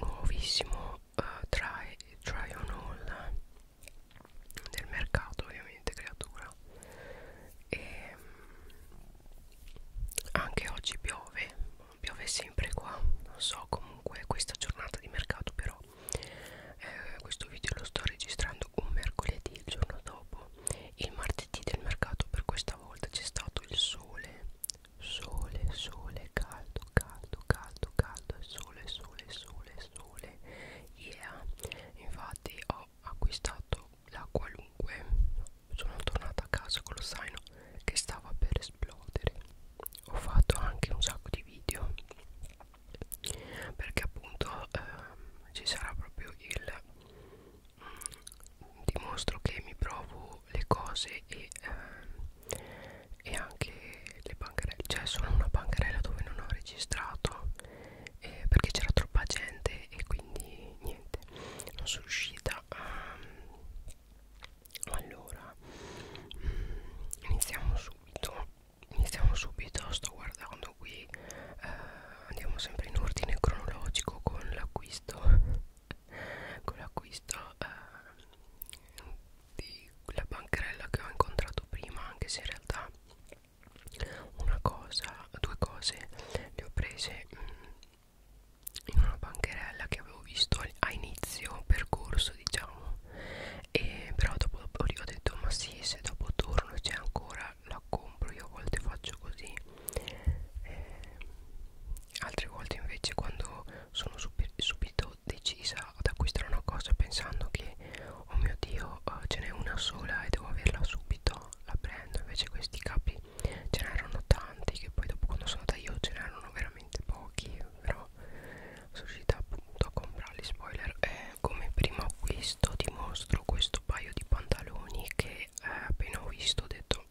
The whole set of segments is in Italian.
nuovissimo uh, try, try on all del mercato ovviamente creatura e mm, anche oggi piove piove sempre qua non so comunque questa giornata di mercato però eh, questo video lo sto registrando un mercoledì il giorno dopo il martedì del mercato per questa volta c'è stato il sole sole, sole, caldo, caldo, caldo, caldo, sole, sole, sole, sole. Yeah, infatti ho acquistato la qualunque. Sono tornata a casa con lo zaino che stava per esplodere. Ho fatto anche un sacco di video perché appunto ehm, ci sarà proprio il mm, dimostro che mi provo le cose e, ehm, e anche le bancarelle cioè sono una bancarella dove non ho registrato eh, perché c'era troppa gente e quindi niente non sono riuscita um, allora mm, iniziamo subito iniziamo subito sto guardando qui eh, andiamo sempre in ordine cronologico con l'acquisto con l'acquisto eh, di quella bancherella che ho incontrato prima anche se in realtà una cosa due cose le ho prese mh, mm, in una bancherella che avevo visto a inizio percorso diciamo e però dopo ho detto ma sì se dopo torno c'è ancora la compro io a volte faccio così eh, altre volte invece quando sono super, subito decisa ad acquistare una cosa pensando che oh mio dio uh, ce n'è una sola e devo averla subito la prendo invece questi capi ce n'erano tanti che poi dopo quando sono andata io ce n'erano veramente pochi però sono riuscita appunto a comprarli spoiler eh, come primo acquisto ti mostro questo paio di pantaloni che eh, appena ho visto ho detto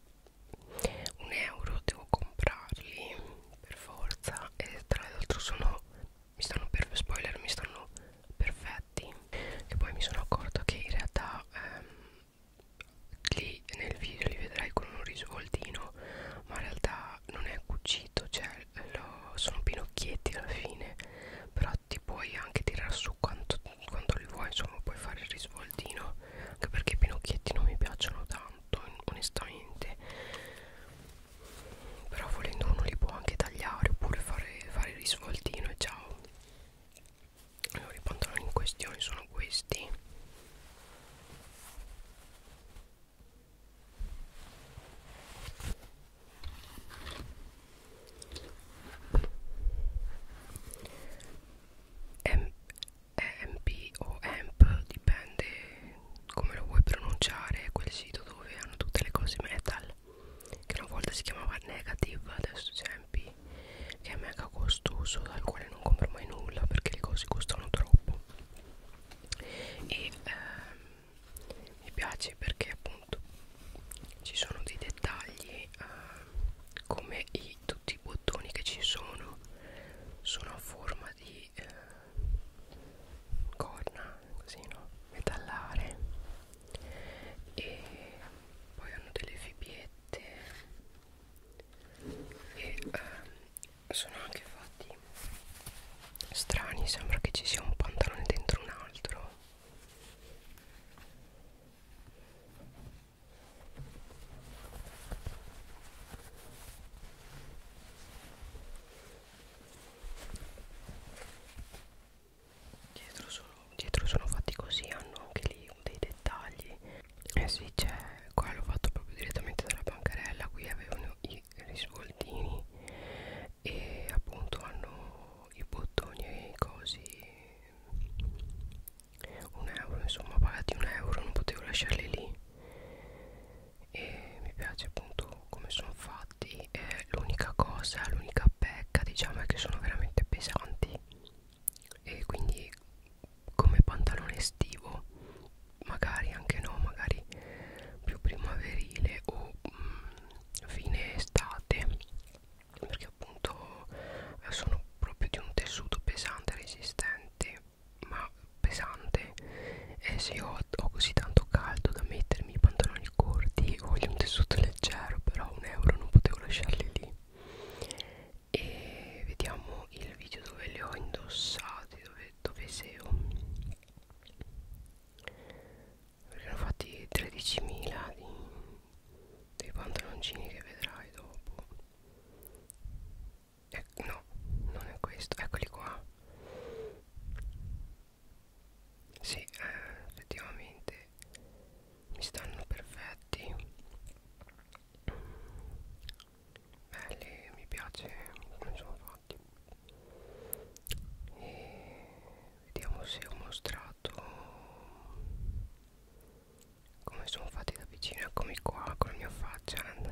un euro devo comprarli per forza e tra l'altro sono mi stanno per spoiler mi stanno perfetti che poi mi sono accorto che in realtà ehm, lì nel video li vedrai con un risvoltino ma in realtà non è cucito cioè lo, sono pinocchietti alla fine però ti puoi anche tirar su quanto, quanto li vuoi insomma puoi fare il risvoltino cavoldino anche perché i pinocchietti non mi piacciono tanto onestamente però volendo uno li può anche tagliare oppure fare, fare il risvoltino e ciao allora i pantaloni in questione sono questi EMP o EMP dipende come lo vuoi pronunciare quel sito dove hanno tutte le cose metal che una volta si chiamava Negative adesso c'è EMP che è mega costoso dal quale non compro mai nulla perché le cose costano troppo e ehm, mi piace perché appunto ci sono dei dettagli eh, come i i, tutti i bottoni che ci sono sono a forma di eh, corna così no metallare e poi hanno delle fibiette e eh, sono anche fatti strani sembra che ci sia un pantalone dentro un altro Dietro sono, dietro sono fatti così, hanno anche lì dei dettagli. Eh sì, c'è, qua l'ho fatto proprio direttamente dalla bancarella, qui avevano i risvoltini e appunto hanno i bottoni e i cosi un euro insomma pagati un euro non potevo lasciarli lì e mi piace appunto come sono fatti l'unica cosa l'unica pecca diciamo è che sono veramente pesanti e quindi come pantalone estivo magari anche no magari più primaverile o mh, mm, fine estate perché appunto eh, sono proprio di un tessuto pesante resistente ma pesante e se io ho, ho così tanto caldo da mettermi i pantaloni corti voglio un tessuto leggero però un euro non potevo lasciarli lì e vediamo il video dove li ho indossati dove, dove seo perché hanno fatti 13.000 dei pantaloncini che vedrai dopo eh, no non è questo eccoli qua sì eh, effettivamente mi stanno perfetti belli mi piace come sono fatti e vediamo se ho mostrato come sono fatti da vicino eccomi qua con la mia faccia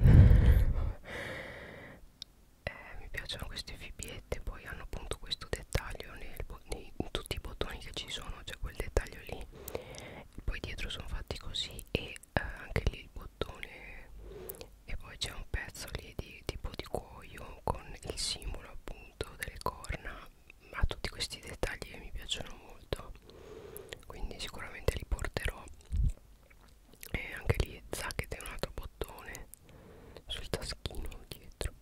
eh, mi piacciono queste fibiette poi hanno appunto questo dettaglio nel, nei, in tutti i bottoni che ci sono c'è cioè quel dettaglio lì poi dietro sono fatti così e eh, anche lì il bottone e poi c'è un pezzo lì di tipo di cuoio con il simbolo appunto delle corna ha tutti questi dettagli che mi piacciono molto quindi sicuramente li porterò e anche lì Zacket è un altro bottone sul taschino dietro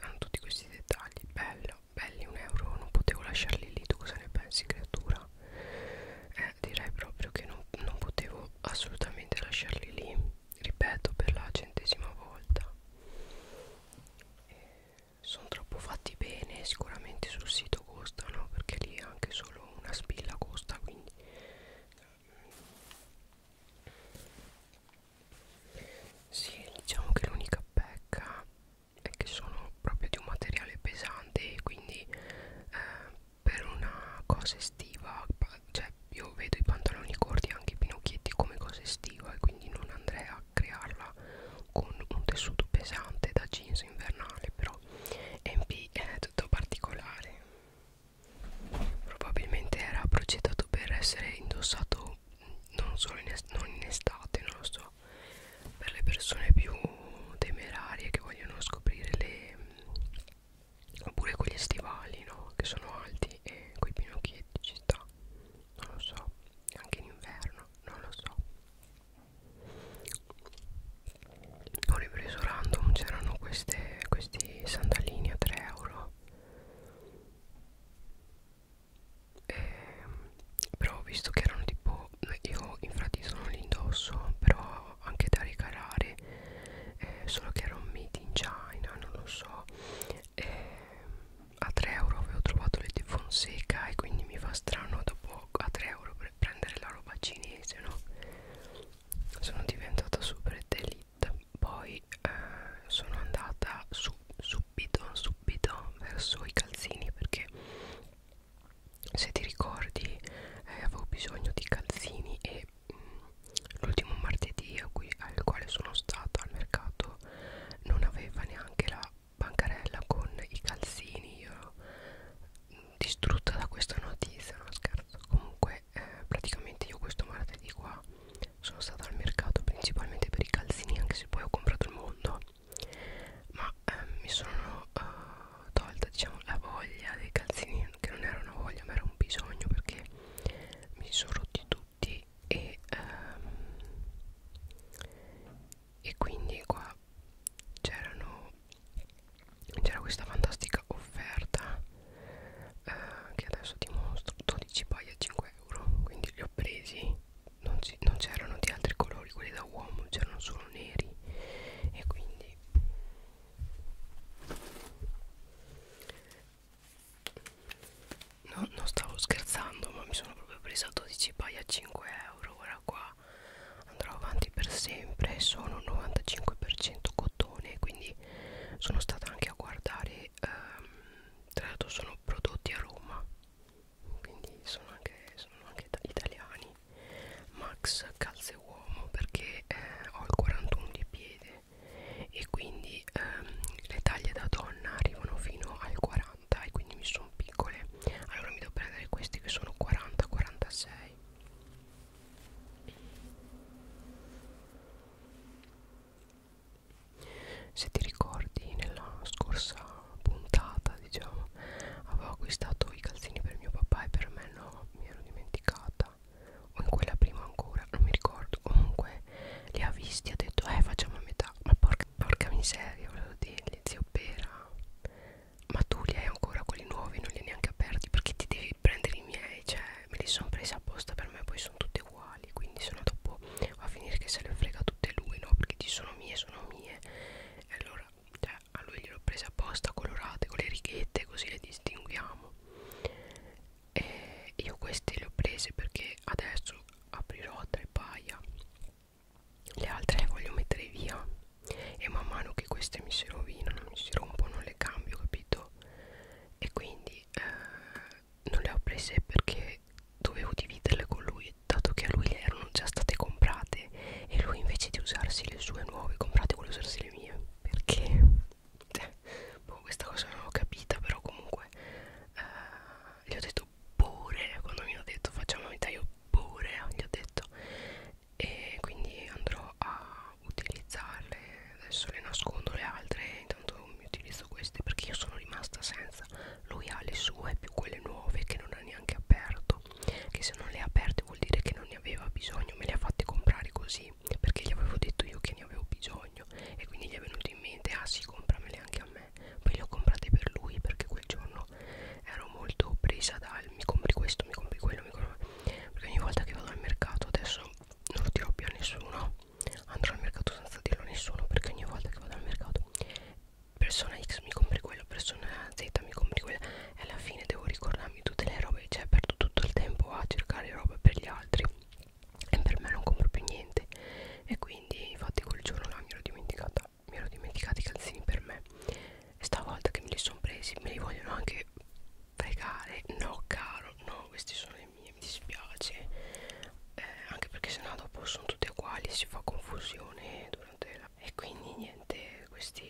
hanno tutti questi dettagli bello belli un euro non potevo lasciarli lì tu cosa ne pensi creatura eh, direi proprio che non, non potevo assolutamente lasciarli lì ripeto per la centesima volta eh, sono troppo fatti bene sicuramente sul sito costano perché lì anche solo solo una spilla costa quindi sì diciamo che l'unica pecca è che sono proprio di un materiale pesante e quindi eh, per una cosa estiva cioè io vedo i pantaloni corti anche i pinocchietti come cosa estiva e quindi non andrei a crearla con un tessuto pesante da jeans invernale però e in più poi è tutto particolare probabilmente era progettato per essere indossato non solo in, est non in estate non lo so per le persone più temerarie che vogliono scoprire le oppure con gli stivali no? che sono alti e con i pinocchietti ci sta non lo so anche in inverno non lo so ho ripreso random c'erano questi sandalini a 3 euro e, però ho visto che erano tipo io infatti sono l'indosso però anche da regalare eh, solo che erano made in China non lo so e, a 3 euro avevo trovato le di Fonseca e quindi mi fa strano dopo euro a 3 euro per prendere la roba cinese no sono diventata super delita poi eh, sono andata su, subito subito verso i calzini perché se ti ricordi eh, avevo bisogno di calzini e mm, l'ultimo martedì a cui, al quale sono stata al mercato non aveva neanche la bancarella con i calzini io distrutta da questa notizia non scherzo comunque eh, praticamente io questo martedì qua sono stata al mercato principalmente per i calzini anche se poi ho comprato il mondo ma eh, mi sono eh, tolta diciamo la voglia dei calzini che non era una voglia ma era un bisogno perché mi sono rotti tutti e ehm, e quindi qua c'erano c'era questa fantastica offerta eh, che adesso ti mostro 12 paia a 5 euro quindi li ho presi non c'erano di altri colori quelli da uomo c'erano solo neri e quindi no, non stavo scherzando ma mi sono proprio presa 12 paia a 5 euro ora qua andrà, andrà avanti per sempre sono 95% cotone quindi sono stata anche a guardare ehm, tra l'altro sono prodotti a Roma quindi sono anche, sono anche italiani Max calze uomo perché eh, ho il 41 di piede e quindi ehm, le taglie da donna arrivano fino al 40 e quindi mi sono piccole allora mi devo prendere questi che sono 40-46 se ti ricordi nella scorsa puntata diciamo avevo acquistato i calzini per mio papà e per me no mi ero dimenticata o in quella prima ancora non mi ricordo comunque li ha visti ha detto eh facciamo a metà ma porca, porca miseria volevo dirgli zio pera ma tu li hai ancora quelli nuovi non li hai neanche aperti perché ti devi prendere i miei cioè me li sono presi apposta per me poi sono tutti uguali quindi sono dopo a finire che se le frega tutte lui no perché ci sono mie sono mie e allora cioè, a lui gliel'ho presa apposta colorate con le righette così le distinguiamo e io queste le ho prese perché adesso aprirò tre paia le altre le voglio mettere via e man mano che queste mi si rovinano, mi si rompono, le cambio, capito? E quindi eh, non le ho prese perché dovevo dividerle con lui, dato che a lui le erano già state comprate e lui invece di usarsi le sue nuove comprate vuole usarsi le mie. Perché? Cioè, boh, questa cosa non l'ho capita, però comunque eh, gli ho detto pure, quando mi hanno detto facciamo metà io pure, gli ho detto e quindi andrò a utilizzarle adesso le nascondo le altre intanto mi utilizzo queste perché io sono rimasta senza lui ha le sue più quelle nuove che non ha neanche aperto che se non le ha aperte vuol dire che non ne aveva bisogno me le ha fatte comprare così perché gli avevo detto io che ne avevo bisogno e quindi gli è venuto in mente ah sì compramele anche a me poi le ho comprate per lui perché quel giorno ero molto presa dal mi compri questo mi compri quello mi compri perché ogni volta che vado al mercato adesso non lo dirò più a nessuno andrò al mercato senza dirlo a nessuno perché ogni volta che vado al mercato persona X mi compri quello persona Z mi compri quello e alla fine devo ricordarmi tutte le robe cioè perdo tutto il tempo a cercare robe per gli altri e per me non compro più niente e quindi infatti quel giorno là mi ero dimenticata mi ero dimenticata i calzini per me e stavolta che me li sono presi me li vogliono anche pregare no caro no questi sono i miei mi dispiace eh, anche perché sennò dopo sono tutti uguali si fa confusione durante la e quindi niente questi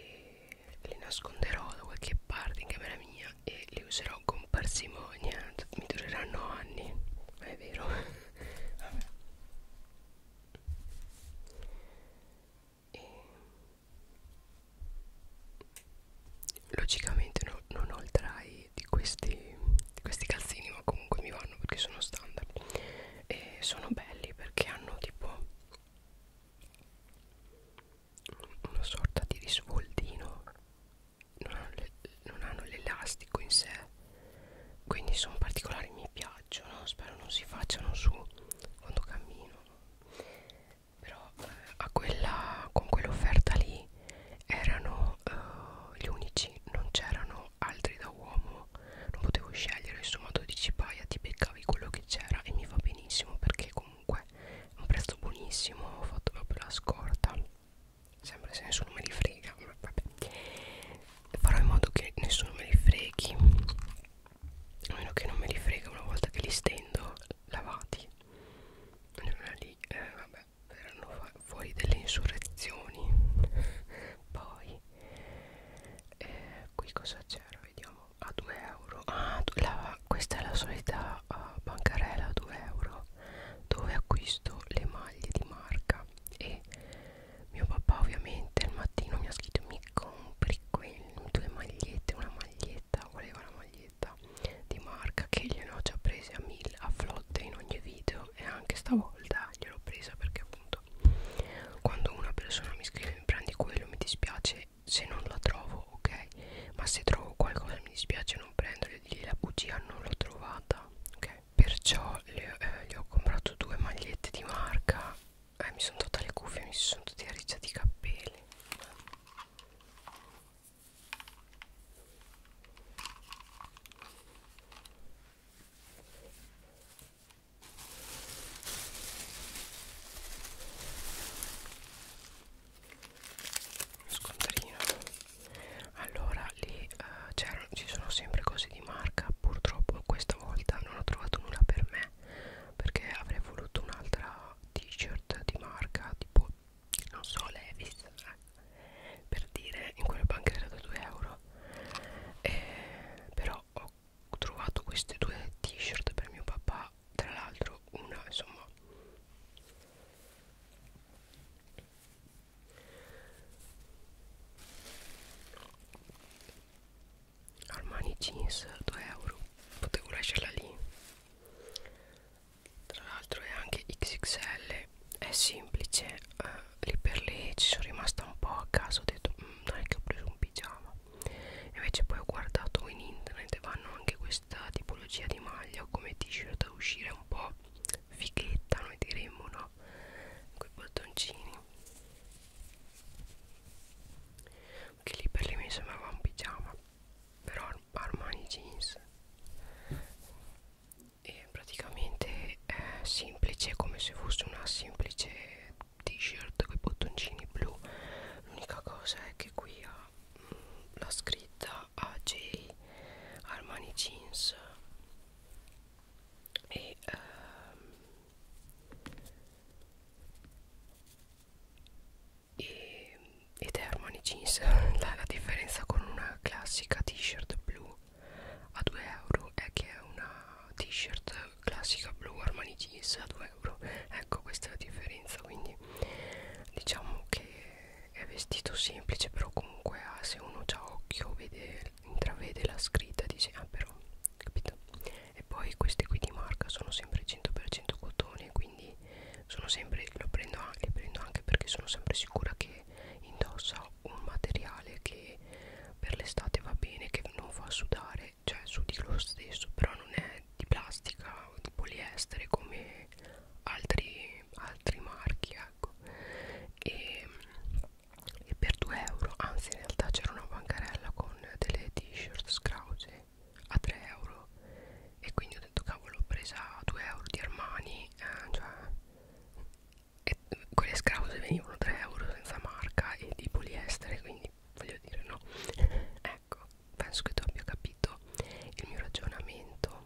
li nasconderò da qualche parte in camera mia e li userò con parsimonia mi dureranno anni è vero Vabbè e logicamente no, non ho il try di questi, di questi calzini ma comunque mi vanno perché sono standard e sono belli perché hanno tipo una sorta di risvoltino non hanno l'elastico in sé quindi sono particolari mi piacciono spero non si facciano su quando cammino però eh, a quella, con quell'offerta lì erano eh, gli unici non c'erano altri da uomo non potevo scegliere insomma 12 paia ti beccavi quello che c'era e mi va benissimo perché comunque è un prezzo buonissimo ho fatto proprio la scorta sempre se nessuno me li frega vabbè. farò in modo che nessuno me li freghi a meno che non me li frega una volta che li stendo lavati allora lì eh, vabbè erano fuori delle insurrezioni poi eh, qui cosa c'era vediamo a 2 euro ah, la, questa è la solita uh, bancarella a 2 euro dove acquisto le maglie di marca e mio papà ovviamente al mattino mi ha scritto mi compri quel, due magliette una maglietta maglietta voleva una maglietta di marca che gliene ho già prese a mille a flotte in ogni video e anche stavolta gliel'ho presa perché appunto quando una persona mi scrive mi prendi quello mi dispiace se non la trovo ok ma se trovo qualcosa mi dispiace non prenderlo e dirgli la bugia non l'ho trovata ok perciò le, eh, gli ho comprato due magliette di marca eh, mi sono tolta le cuffie mi si sono tutti arricciati i capelli uno scontrino allora lì uh, ci sono sempre cose di marca purtroppo questa volta non ho trovato nulla per me perché avrei voluto un'altra t-shirt di marca tipo non so Levis eh, per dire in quelle banche era da 2 euro eh, però ho trovato queste due t-shirt per mio papà tra l'altro una insomma Armani jeans 2 euro potevo lasciarla lì tra l'altro è anche XXL è semplice eh, lì per lì ci sono rimasta un po' a caso ho detto dai mm, che ho preso un pigiama invece poi ho guardato in internet e vanno anche questa tipologia di maglia come t-shirt da uscire un po' fighetta noi diremmo no quei bottoncini che lì per lì mi sembrava un pigiama però Armani Jeans e praticamente è semplice come se fosse una semplice t-shirt con i bottoncini blu l'unica cosa è che qui ha mh, mm, la scritta AJ Armani Jeans e ehm, e, ed è Armani Jeans la, la differenza con una classica t-shirt blu a 2 euro è che è una t-shirt classica blu Armani Jeans a 2 euro ecco questa è la differenza quindi diciamo che è vestito semplice però comunque ha, ah, se uno ha occhio vede, intravede la scritta dice ah però capito e poi queste qui di marca sono sempre 100% cotone quindi quindi sono sempre lo prendo anche, li prendo anche perché sono sempre sicura che indossa un materiale che per l'estate va bene che non fa sudare cioè sudi lo stesso però non è di plastica o di poliestere come altri, altri marchi ecco e, e per 2 euro anzi in realtà c'era una bancarella con delle t-shirt scrause a 3 euro e quindi ho detto cavolo ho presa 2 euro di Armani eh, cioè, e quelle scrause venivano 3 euro senza marca e di poliestere quindi voglio dire no ecco penso che tu abbia capito il mio ragionamento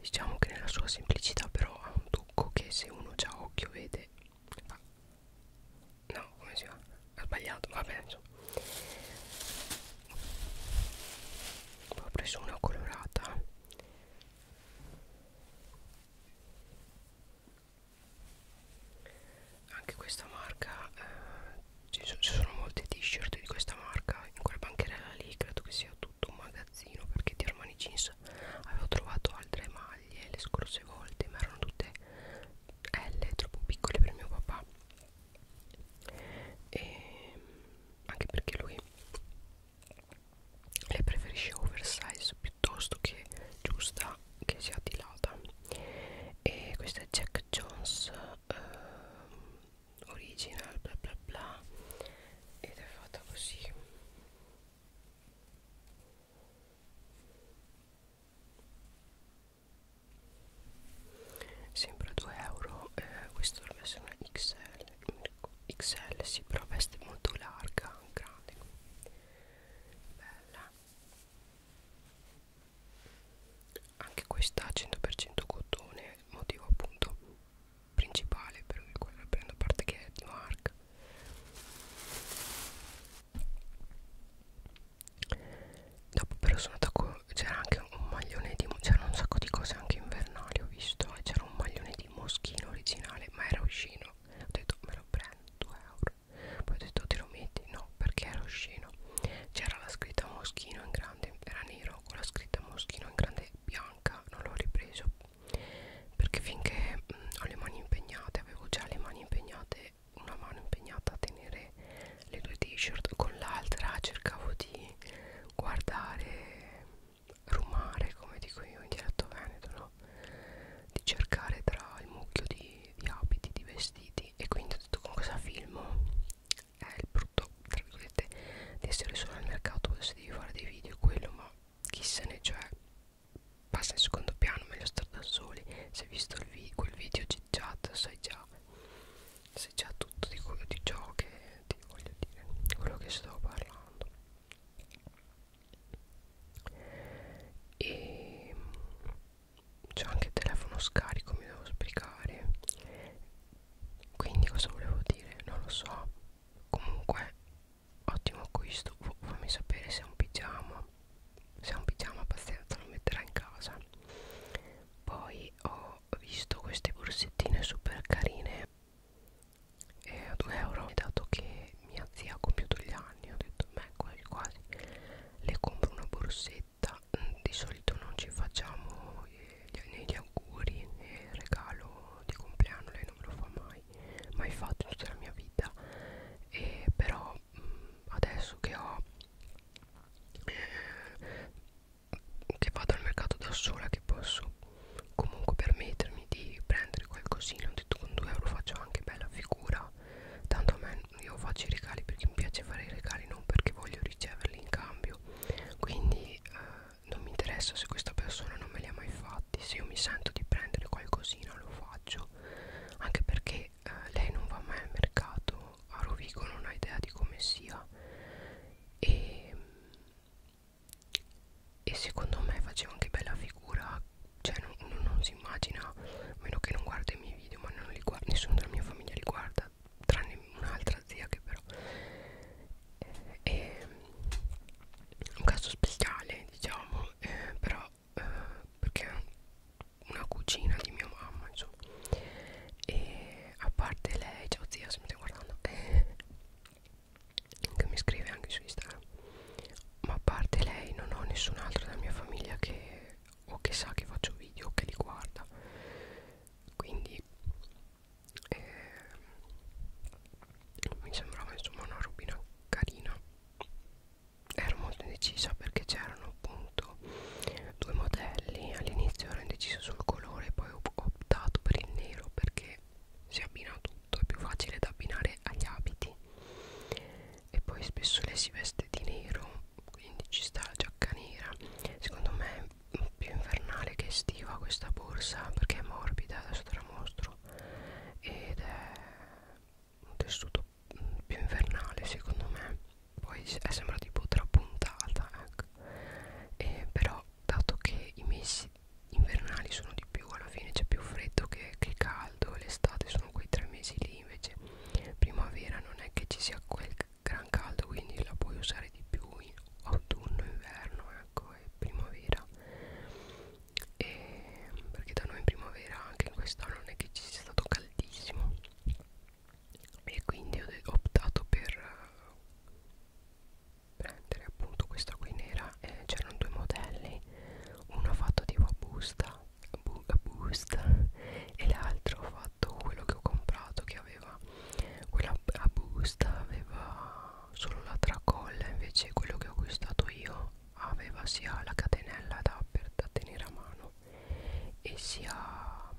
diciamo che nella sua semplicità però ha un tocco che se uno già occhio vede Ah. No, come si fa? Ha sbagliato, va bene insomma. Ho preso una colorata. Anche questa marca, eh, ci, sono, ci sono molte t-shirt di questa marca. In quella bancherella lì credo che sia tutto un magazzino perché di Armani Jeans avevo trovato altre maglie taglie le scorse volte ma erano tutte L troppo piccole per mio papà e anche perché lui le preferisce oversize piuttosto che giusta che sia dilata e questa è Jack Jones eh, original bla bla bla ed è fatta così Sembra 2 euro, eh, questo dovrebbe essere una XL, XL sì, però veste molto larga, grande, bella. Anche questa 100% cottone, motivo appunto principale per cui la prendo, a parte che è di marca. Dopo però sono attacco c'era anche un maglione di c'erano un sacco di cose anche invernali ho visto e c'era un maglione di moschino originale ma era uscino ho detto me lo prendo 2 euro poi ho detto te lo metti no perché era uscino c'era la scritta moschino in grande era nero con la scritta moschino in grande bianca non l'ho ripreso perché finché mh, mm, ho le mani impegnate avevo già le mani impegnate una mano impegnata a tenere le due t-shirt con l'altra cercavo di guardare rumare come dico io in dialetto veneto no? di cercare tra il mucchio di, di abiti di vestiti e quindi ho detto con cosa filmo è il brutto tra virgolette di essere solo al mercato se devi fare dei video quello ma chi se ne cioè passa in secondo piano meglio stare da soli se hai visto il vi quel video chat sai già sai già tutto di quello di ciò che ti voglio dire quello che stavo parlando e ehm, c'è anche il telefono scarico mi devo spiegare quindi cosa volevo dire non lo so comunque ottimo acquisto F fammi sapere se è un pigiama se è un pigiama pazienza lo metterà in casa poi ho visto queste borsettine super carine e a 2 euro e dato che mia zia ha compiuto gli anni ho detto beh quasi quasi le compro una borsetta mm, di solito non ci facciamo né eh, gli auguri né eh, il regalo di compleanno lei non me lo fa mai mai, mai fatto in tutta la mia vita e però mm, adesso che ho eh, che vado al mercato da sola che posso comunque permettermi di prendere qualcosina ho detto con 2 euro faccio anche bella figura tanto a me io faccio i regali perché mi piace fare i regali non perché voglio riceverli in cambio quindi eh, non mi interessa se questa persona non me li ha mai fatti se io mi sento di prendere qualcosina lo faccio vita anche perché eh, lei non va mai al mercato a Rovigo non ha idea di come sia e, mm, e secondo me faceva anche bella figura cioè non, uno non si immagina a meno che non guarda i miei video ma non li guarda, nessuno della mia famiglia li guarda tranne un'altra zia che però è eh, mm, un caso speciale diciamo eh, però eh, perché è una cugina di mia mamma insomma e a parte lei ciao zia se mi stai guardando eh, che mi scrive anche su Instagram ma a parte lei non ho nessun altro della mia famiglia che o che sa che faccio video o che li guarda quindi eh, mi sembrava insomma una robina carina ero molto indecisa perché c'erano appunto due modelli all'inizio ero indecisa sul colore poi ho optato per il nero perché si abbina tutto è più facile da abbinare agli abiti e poi spesso lei si veste di nero quindi ci sta la giacca nera secondo me è più invernale che estiva questa borsa perché è morbida adesso te la mostro ed è un tessuto più invernale secondo me poi è sembra tipo trapuntata ecco. e però dato che i mesi invernali sono di più alla fine c'è più freddo che, che caldo l'estate sono quei tre mesi lì invece primavera non è che ci sia quel gran caldo quindi la puoi usare di più in autunno inverno ecco e primavera e perché da noi in primavera anche in quest'anno non è che ci sia stato caldissimo e quindi ho optato per eh, prendere appunto questa qui nera eh, c'erano due modelli uno fatto tipo a busta bu a busta e l'altro fatto quello che ho comprato che aveva quella a busta aveva solo la tracolla invece quello che ho acquistato io aveva sia la catenella da, per, da tenere a mano e sia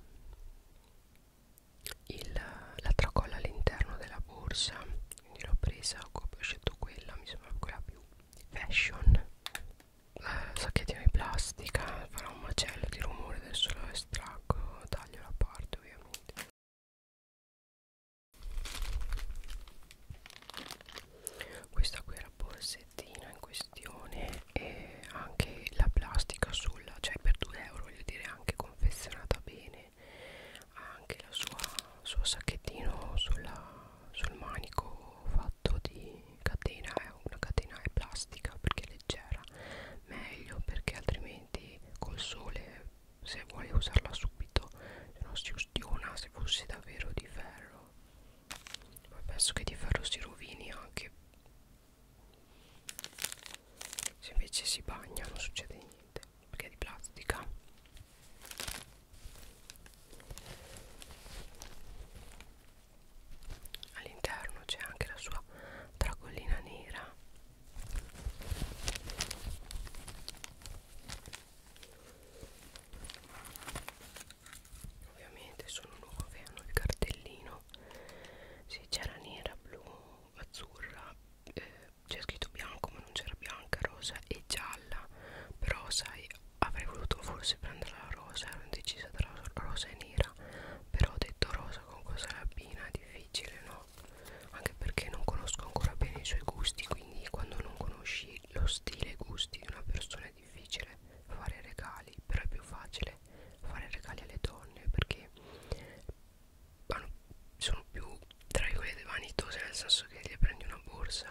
il, la tracolla all'interno della borsa quindi l'ho presa, ho scelto quella, mi sembra quella più fashion eh, sacchettino di plastica, farà un macello di rumore, adesso lo estraggo, taglio la parte ovviamente questa qui è la borsettina in questione e anche la plastica sulla cioè per 2 euro voglio dire anche confezionata bene ha anche la sua suo sacchettino sulla, sul manico fatto di catena è una catena è plastica perché è leggera meglio perché altrimenti col sole se vuoi usarla subito se no si ustiona se fosse davvero di ferro poi penso che di ferro si rovini anche se invece si bagna non succede niente perché è di plastica all'interno c'è anche la sua tracolina nera ovviamente sono nuove hanno il cartellino sì c'era nera blu azzurra eh, c'è scritto bianco ma non c'era bianca rosa e gialla però sai avrei voluto forse prendere la rosa ero indecisa tra rosa e nera però ho detto rosa con cosa l'abbina è difficile no anche perché non conosco ancora bene i suoi gusti quindi quando non conosci lo stile e i gusti di una persona non è difficile fare regali però è più facile fare regali alle donne perché hanno, sono più tra virgolette vanitose nel senso che le prendi una borsa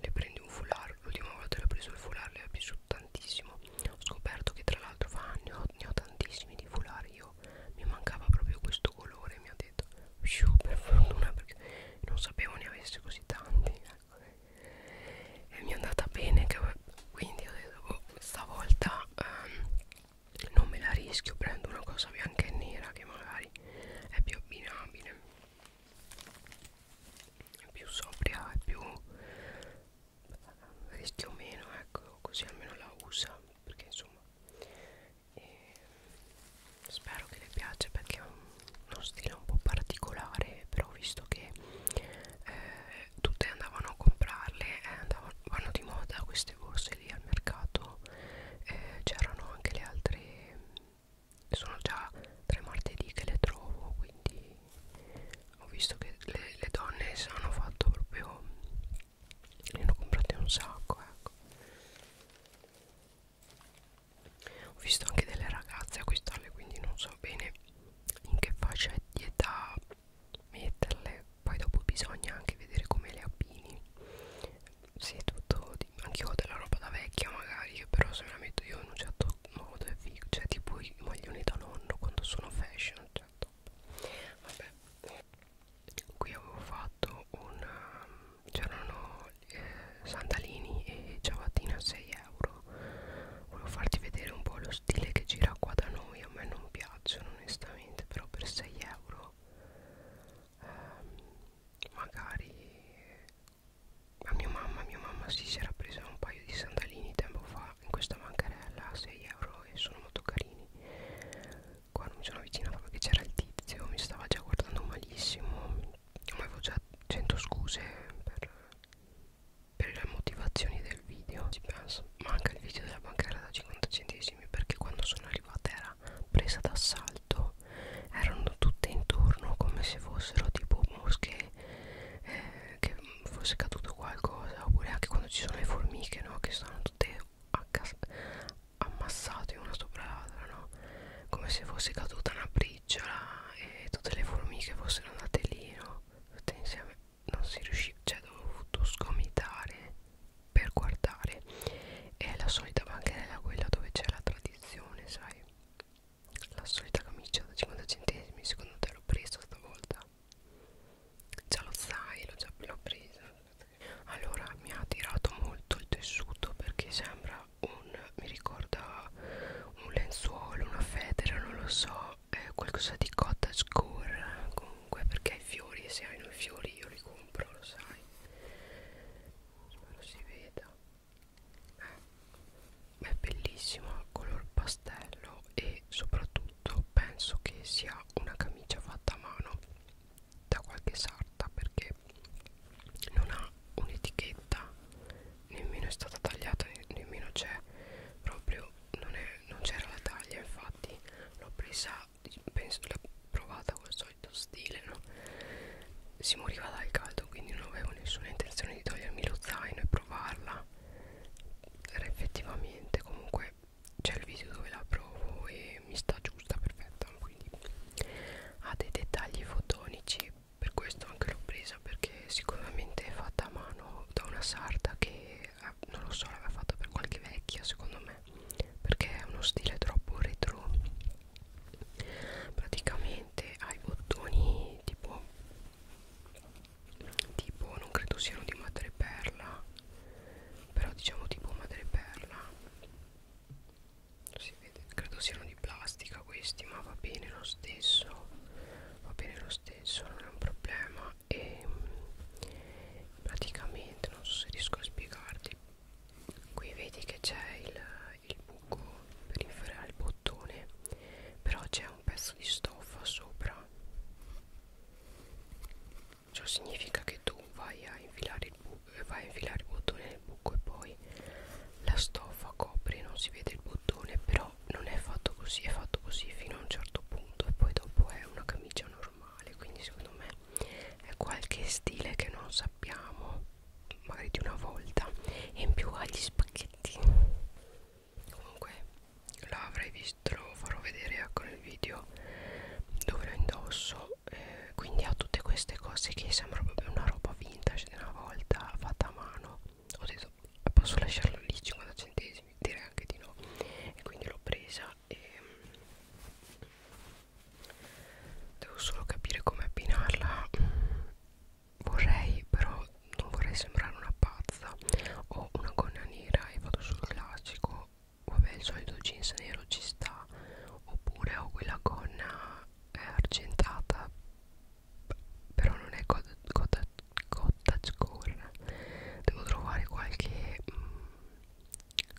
le prendi un foulard l'ultima volta che ho preso il foulard le ho piaciuto tantissimo ho scoperto che tra l'altro fa ne ho, ne ho tantissimi di foulard io mi mancava proprio questo colore mi ha detto Sciù, per fortuna perché non sapevo ne avesse così tanti ecco. e mi è andata bene che, quindi ho detto oh, stavolta um, non me la rischio prendo una cosa bianca e nera che magari è più abbinabile è più sobria è più rischio meno ecco così almeno la usa perché insomma e, ehm, spero che le piace perché è un, uno stile un po' particolare però visto che eh, tutte andavano a comprarle eh, andavano, vanno di moda queste borse lì al mercato eh, c'erano anche le altre sono già tre martedì che le trovo quindi ho visto che le, le donne hanno fatto proprio ne hanno comprate un sacco ecco ho visto anche delle ragazze acquistarle quindi non so bene in che fascia di età metterle poi dopo bisogna anche vedere come le abbini sì tutto anche io ho della roba da vecchia magari che però se me la metto io in un certo modo è figo cioè tipo i maglioni da nonno quando sono fashion cioè top vabbè qui avevo fatto un um, c'erano eh, sandalini e ciabattina a 6 euro volevo farti vedere un po' lo stile che gira qua da noi a me non piacciono onestamente però per 6 euro eh, magari a mia mamma mia mamma si, si era presa un paio di sandalini tempo fa in questa bancarella a 6 euro e sono molto carini qua non mi sono avvicinata perché c'era il tizio mi stava già guardando malissimo ma avevo già 100 scuse per, per le motivazioni del video ci penso ma anche il video della bancara da 50 centesimi perché quando sono arrivata era presa d'assalto erano tutte intorno come se fossero tipo mosche eh, che fosse caduto qualcosa oppure anche quando ci sono le formiche no che stanno tutte ammassate una sopra l'altra no come se fosse caduta una briglia camicciola e tutte le formiche fossero andate lì, no? Tutte insieme non si riusciva, cioè dovuto sgomitare per guardare. È la solita bancherella quella dove c'è la tradizione, sai? La solita camicia da 50 centesimi, secondo te l'ho presa stavolta? Già lo sai, l'ho già presa. Allora mi ha attirato molto il tessuto perché sembra un mi ricorda un lenzuolo, una federa, non lo so, eh, qualcosa di cottage core comunque perché i fiori, se hanno i fiori io li compro, lo sai. Spero si veda. Eh, è bellissima, color pastello e soprattutto penso che sia una camicia fatta a mano da qualche sarta perché non ha un'etichetta nemmeno è stata tagliata nemmeno c'è proprio non, è, non c'era la taglia infatti l'ho presa penso l'ho provata col solito stile no? si moriva dal caldo quindi non avevo nessuna intenzione di togliermi lo zaino e provarla era effettivamente comunque c'è il video dove la provo e mi sta giusta perfetta quindi ha dei dettagli fotonici per questo anche l'ho presa perché sicuramente è fatta a mano da una sarta che eh, non lo so l'aveva fatta per qualche vecchia secondo me perché è uno stile troppo retro praticamente ha i bottoni tipo tipo non credo siano di madreperla però diciamo tipo madreperla si vede credo siano di di plastica questi ma va bene lo stesso va bene lo stesso non è un problema e mm, praticamente non so se riesco a spiegarti qui vedi che c'è il, il buco per inferare il bottone però c'è un pezzo di stoffa sopra ciò significa che tu vai a infilare il buco vai a infilare il bottone nel buco e poi la stoffa copre non si vede il bottone però però non è fatto così è fatto così fino a un certo punto e poi dopo è una camicia normale quindi secondo me è qualche stile che non sappiamo magari di una volta e in più ha gli spacchetti comunque l'avrei visto lo farò vedere ecco nel video dove lo indosso eh, quindi ha tutte queste cose che sembra proprio una roba vintage di una volta fatta a mano ho detto posso lasciarla lì 50 centesimi direi anche di no e quindi l'ho presa e mm, devo solo capire come abbinarla vorrei però non vorrei sembrare una pazza ho una gonna nera e vado sul classico vabbè il solito jeans nero ci sta oppure ho quella gonna eh, argentata però non è cottage, cottagecore devo trovare qualche mh, mm,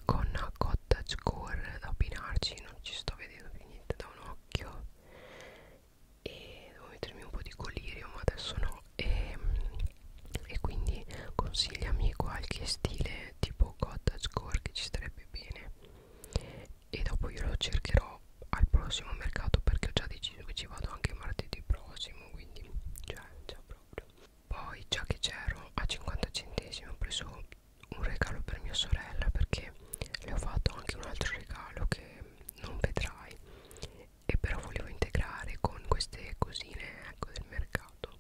gonna cottagecore da abbinarci non ci sto vedendo più niente da un occhio e devo mettermi un po' di colirio ma adesso no e, mm, e quindi consigliami qualche stile tipo cottagecore che ci starebbe bene e dopo io lo cercherò al prossimo mercato perché ho già deciso che ci vado anche martedì prossimo quindi cioè già proprio poi già che c'ero a 50 centesimi ho preso un regalo per mia sorella perché le ho fatto anche un altro regalo che non vedrai e però volevo integrare con queste cosine ecco del mercato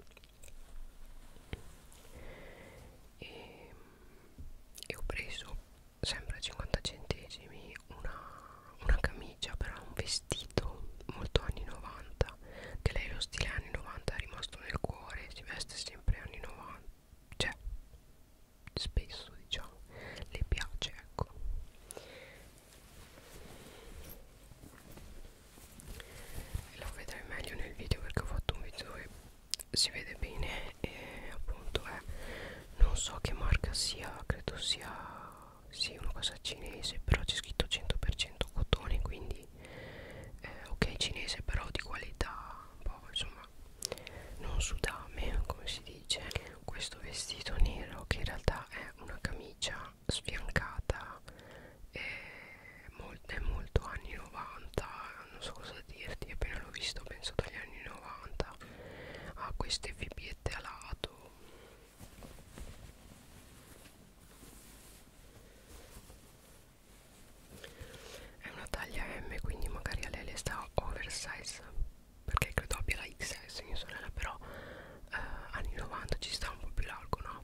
e, e ho preso sempre 50 centesimi una, una camicia però un vestito molto anni 90 che lei lo stile anni 90 è rimasto nel cuore si veste sempre anni 90 cioè spesso diciamo le piace ecco e lo vedrai meglio nel video perché ho fatto un video dove si vede bene e appunto è non so che marca sia credo sia sì, una cosa cinese però c'è scritto 100% cotone quindi eh, ok cinese però di qualità un boh, po' insomma non sudame come si dice questo vestito nero che in realtà è una camicia sfiancata è, mol è molto anni 90 non so cosa dirti appena l'ho visto penso dagli anni 90 ha queste fibbiette a lato è una taglia M quindi magari a lei le sta oversize perché credo abbia la XS mia sorella però eh, anni 90 ci sta un po' più largo no?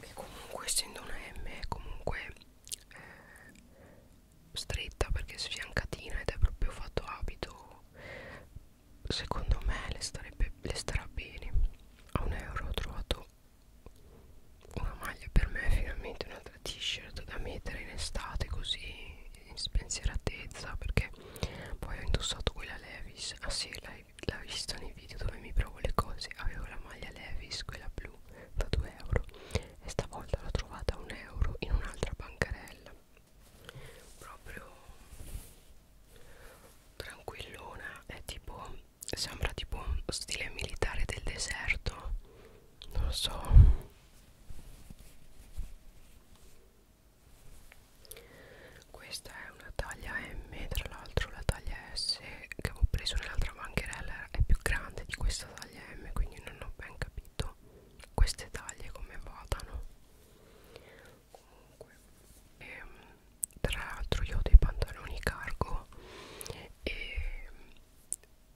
e comunque essendo una M è comunque eh, stretta perché sfiancatina ed è proprio fatto abito secondo me le, starebbe, le starà bene a un euro ho trovato una maglia per me finalmente un'altra t-shirt da mettere in estate così in spensieratezza perché poi ho indossato quella Levis ah sì l'ha vista nei video dove mi provo le cose avevo la maglia Levis quella blu da 2 euro e stavolta l'ho trovata a un euro in un'altra bancarella proprio tranquillona è tipo sembra tipo un stile militare del deserto non lo so questa è una taglia M tra l'altro la taglia S che avevo preso nell'altra bancherella è più grande di questa taglia M quindi non ho ben capito capito queste taglie come vadano comunque ehm, tra l'altro io ho dei pantaloni cargo e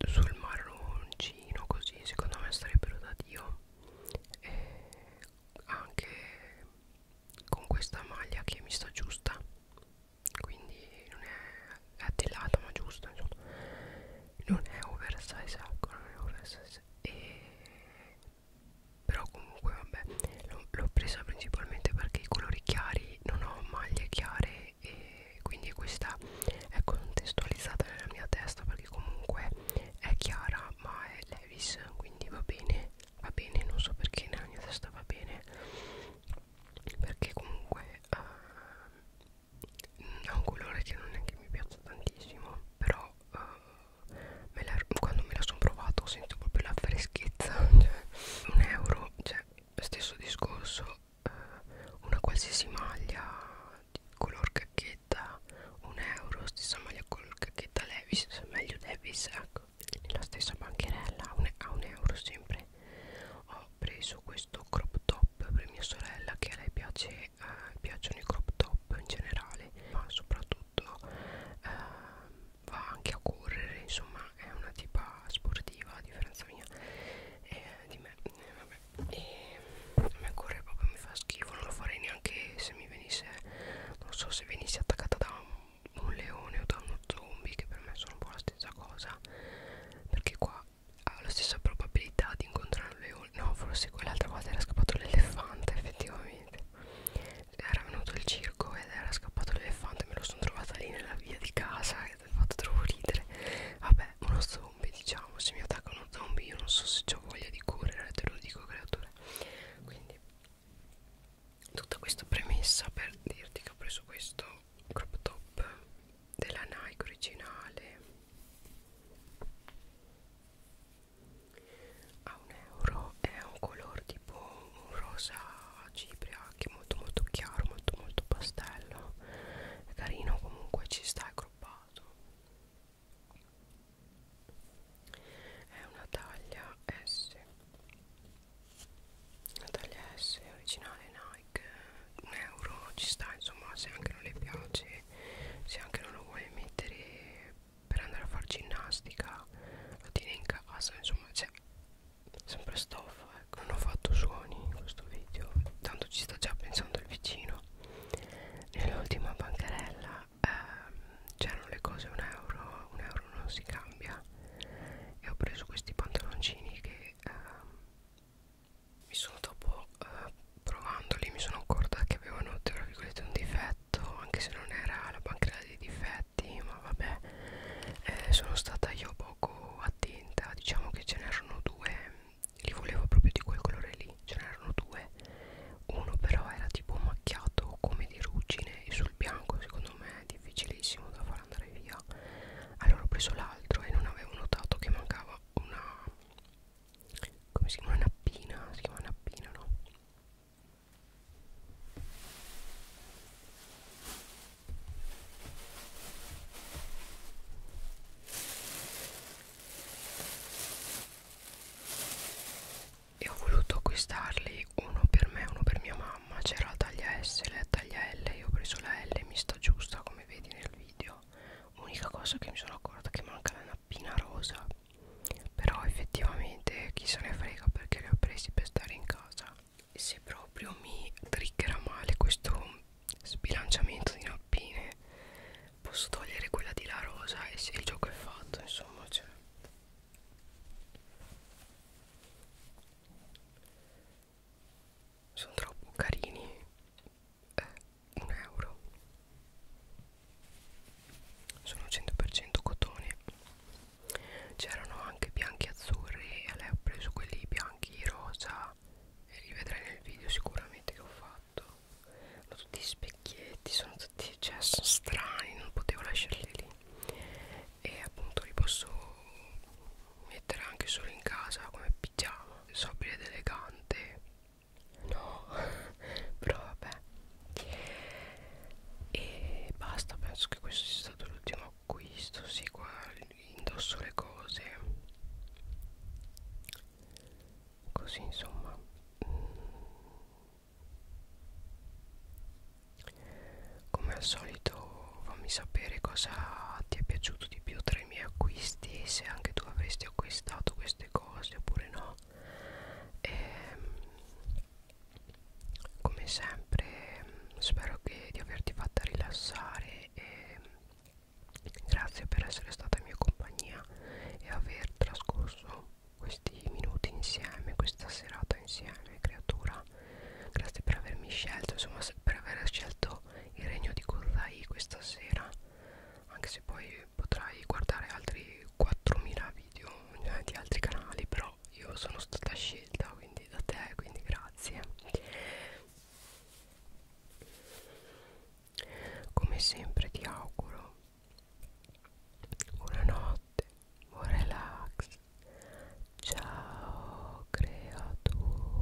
sul marroncino così secondo me sarebbero da dio e anche con questa maglia che mi sta giusta quindi non è è dell'alto ma giusto insomma. non è oversize ecco non è oversize e però comunque vabbè l'ho presa principalmente perché i colori chiari non ho maglie chiare e quindi questa è contestualizzata nella mia testa perché comunque è chiara ma è Levis quindi va bene va bene non so perché nella mia testa va bene perché comunque uh, ha un colore che non è che mi piace tantissimo però uh, me la, quando me la sono provato sento proprio la freschezza cioè, un euro cioè stesso discorso uh, una qualsiasi maglia di color cacchetta un euro stessa maglia color cacchetta Levis meglio Levis ecco nella stessa bancherella a un, a un euro sempre ho preso questo crop top per mia sorella che a lei piace, eh, piacciono i crop top in generale ma soprattutto eh, va anche a correre insomma è una tipa sportiva a differenza mia eh, di me eh, vabbè. e a me correre proprio mi fa schifo non lo farei neanche se mi venisse non so se venissi attaccata da un un leone o da uno zombie che per me sono un po' la stessa cosa perché qua ha la stessa probabilità di incontrare un leone no forse quell'altra volta era scappato l'elefante effettivamente era venuto il circo ed era scappato l'elefante me lo sono trovata lì nella via di casa ed è fatto troppo ridere vabbè uno zombie diciamo se mi attacca uno zombie io non so se ho voglia di correre te lo dico creatura quindi tutta questa premessa per dirti che ho preso questo crop top della Nike originale a un euro è un colore tipo un rosa cipria che è molto molto chiaro molto molto pastello è carino comunque ci sta è croppato è una taglia S la taglia S originale Nike like un euro ci sta insomma se anche non le piace se anche non lo vuole mettere per andare a far ginnastica lo tiene in casa insomma c'è sempre stoffa ecco non ho fatto suoni in questo video tanto ci sta già pensando il vicino nell'ultima bancarella ehm, c'erano le cose un euro un euro non si cambia e ho preso questi pantaloncini che ehm, mi sono dopo eh, provandoli mi sono accorta che avevano tra virgolette un difetto anche se non era la banchina dei difetti ma vabbè eh, sono stata io poco attenta diciamo che ce n'erano due li volevo proprio di quel colore lì ce n'erano due uno però era tipo macchiato come di ruggine e sul bianco secondo me è difficilissimo da far andare via allora ho preso l'altro e non avevo notato che mancava una come si chiama nappina si chiama nappina no e ho voluto acquistarli uno per me uno per mia mamma c'era la taglia S e la taglia L io ho preso la L mi sta giusta come vedi nel video bello unica cosa che mi sono accorta che manca la nappina rosa però effettivamente chi se ne frega perché le ho presi per stare in casa e se proprio mi triggerà male questo sbilanciamento di nappine posso togliere quella di la rosa e se il gioco è fatto insomma cioè sono troppo carini è un euro sono 100% cotone c'erano anche bianchi e azzurri e lei ha preso quelli bianchi rosa e li vedrai nel video sicuramente che ho fatto hanno tutti gli specchietti sono tutti cioè, sono strani non potevo lasciarli lì e appunto li posso mettere anche solo in casa come pigiama sobile ed elegante no però vabbè e basta penso che questo sia stato l'ultimo acquisto sì qua indosso le cose così insomma come al solito fammi sapere cosa ti è piaciuto di più tra i miei acquisti se anche tu avresti avresti acquistato queste cose oppure no e, ehm, come sempre spero che di averti fatta rilassare e grazie per essere stata in mia compagnia e aver trascorso questi minuti insieme questa serata insieme creatura grazie per avermi scelto insomma per aver scelto il regno di Kozai questa sera anche se poi potrai guardare altri 4000 video eh, di altri canali però io sono stata scelta quindi da te quindi grazie come sempre ti auguro buonanotte buon relax ciao creatura